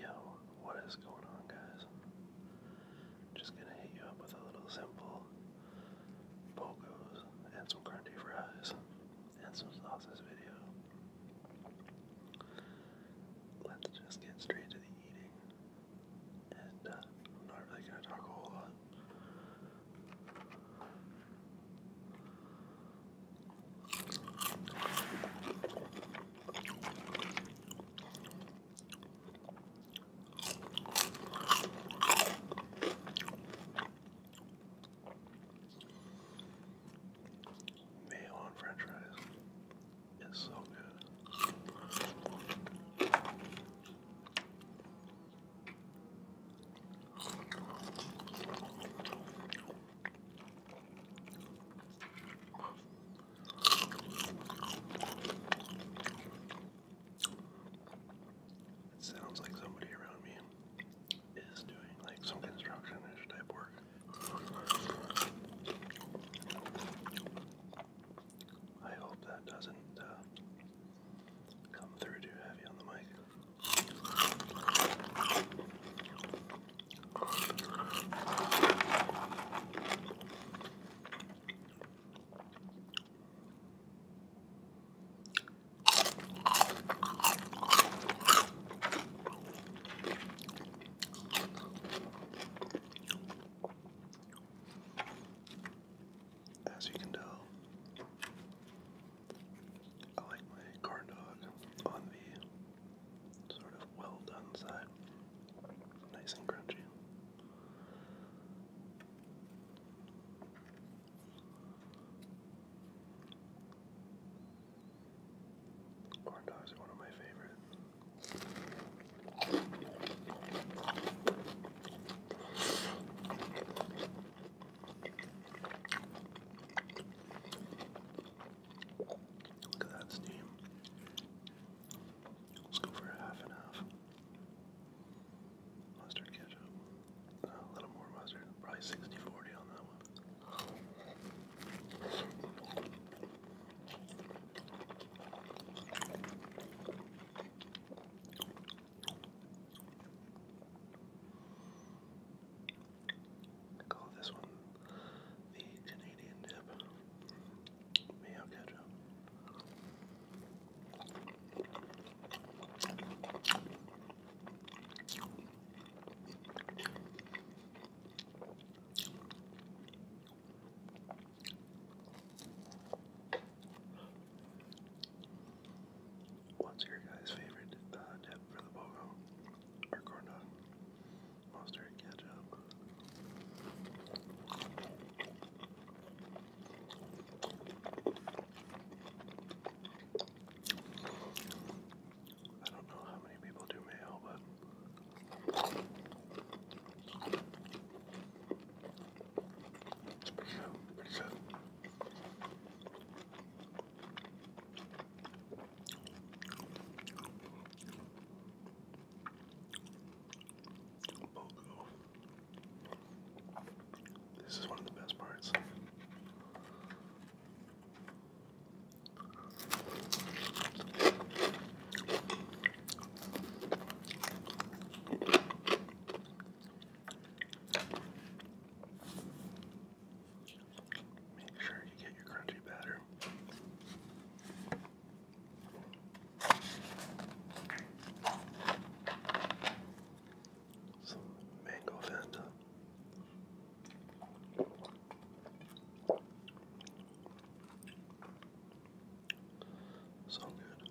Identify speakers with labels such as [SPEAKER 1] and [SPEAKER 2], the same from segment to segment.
[SPEAKER 1] Yo, what is going on, guys? Just gonna hit you up with a little simple bogos and some crunchy fries and some sauces video. Let's just get straight to the eating, and uh, I'm not really gonna talk a whole lot. Mayo on french fries is so good. It sounds like somebody around me is doing like some construction type work. I hope that doesn't uh, come through too heavy on the mic. As you can tell, I like my corn dog on the sort of well done side. Nice and crunchy. Corn dogs are one of my favorites. Look at that steam. Let's go for half and half. Mustard ketchup. Uh, a little more mustard. Probably 60-40 on that one call this one the Canadian dip. Mayo ketchup. What's your guys' favorite uh, dip for the BOGO or corn dog? mustard, ketchup. I don't know how many people do mail, but it's pretty good, pretty good. This is one of the best parts. Make sure you get your crunchy batter. Some mango Fanta. So good.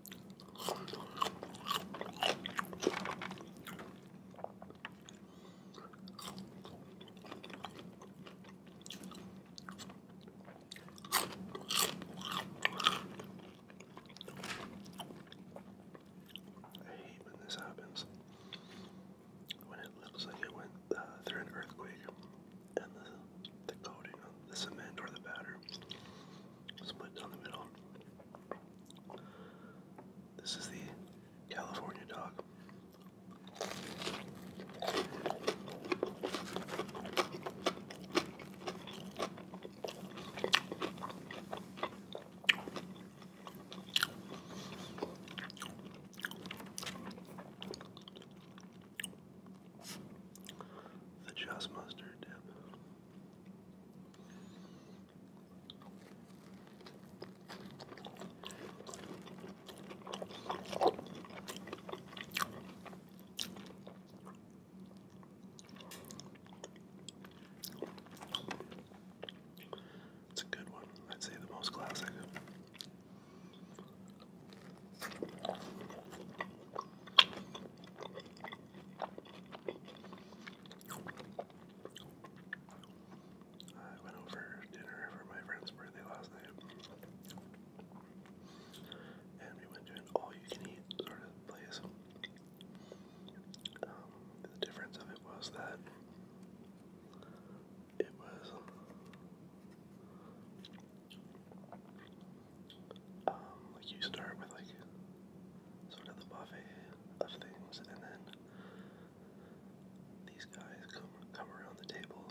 [SPEAKER 1] I hate when this happens. When it looks like it went uh, through an earthquake and the, the coating of the cement or the batter split down the middle. This is the California dog the just mustard dip. It's a good one. I'd say the most classic. I went over dinner for my friend's birthday last night. And we went to an all-you-can-eat sort of place. Um, the difference of it was that it was um, like you start with like sort of the buffet of things, and then these guys come come around the table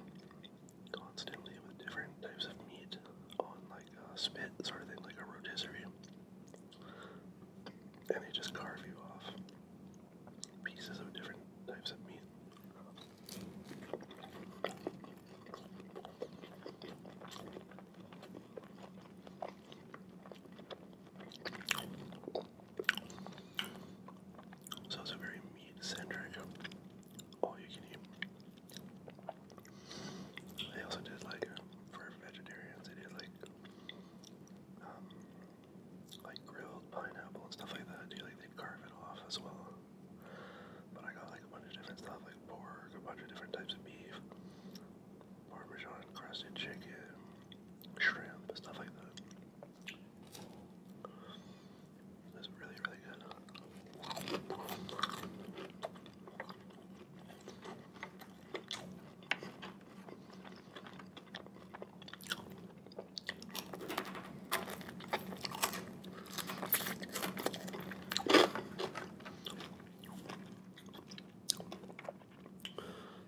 [SPEAKER 1] constantly with different types of meat on like a spit sort of thing, like a rotisserie, and they just carve you off pieces of different types of meat. So it's a very meat centric. All you can eat. They also did like for vegetarians. They did like um, like grilled pineapple and stuff like that. Do They like they carve it off as well. But I got like a bunch of different stuff, like pork, a bunch of different types of beef, parmesan crusted chicken, shrimp, stuff like that. That's really, really good.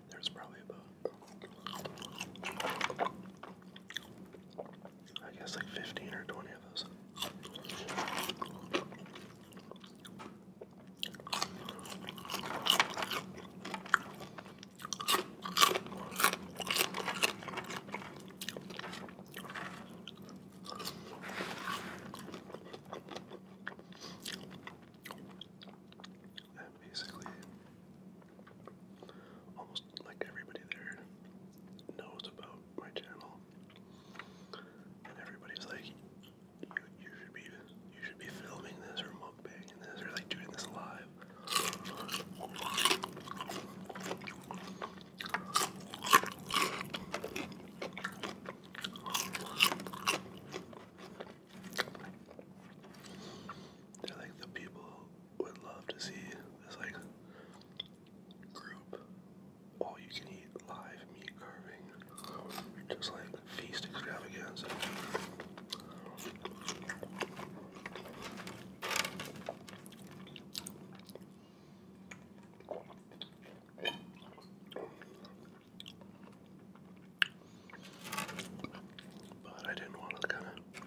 [SPEAKER 1] There's probably about, I guess, like 15 or 20 of those. And basically, almost like everybody there knows about my channel, and everybody's like, "You, should be, you should be filming this or mukbanging this or like doing this live." They're like the people would love to see this like group all you can eat live meat carving. Just like feast extravaganza. But I didn't want to kind of,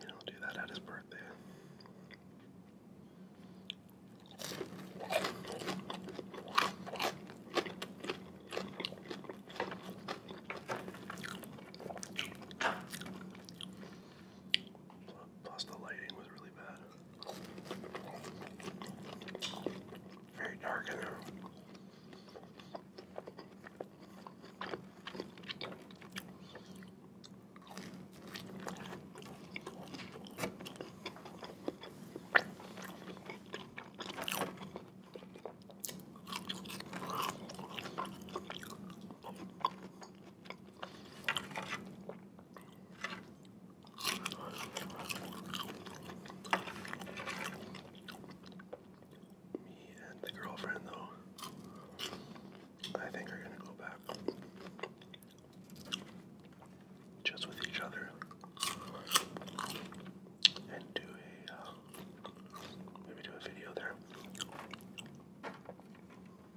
[SPEAKER 1] you know, do that at his birthday. Plus the lighting was really bad. Very dark in there. Me and the girlfriend, though, I think are gonna go back just with each other and do a uh, maybe do a video there.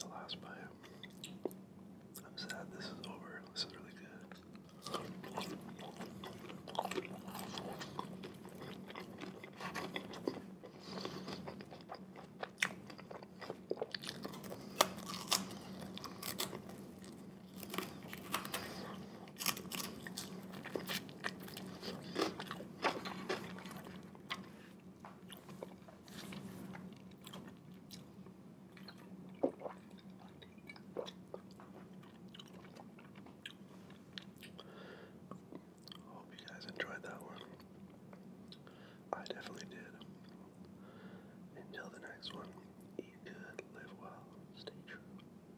[SPEAKER 1] The last bite. I'm sad this is over. This is really good. Hope you guys enjoyed that one. I definitely did. Until the next one, eat good, live well, stay true.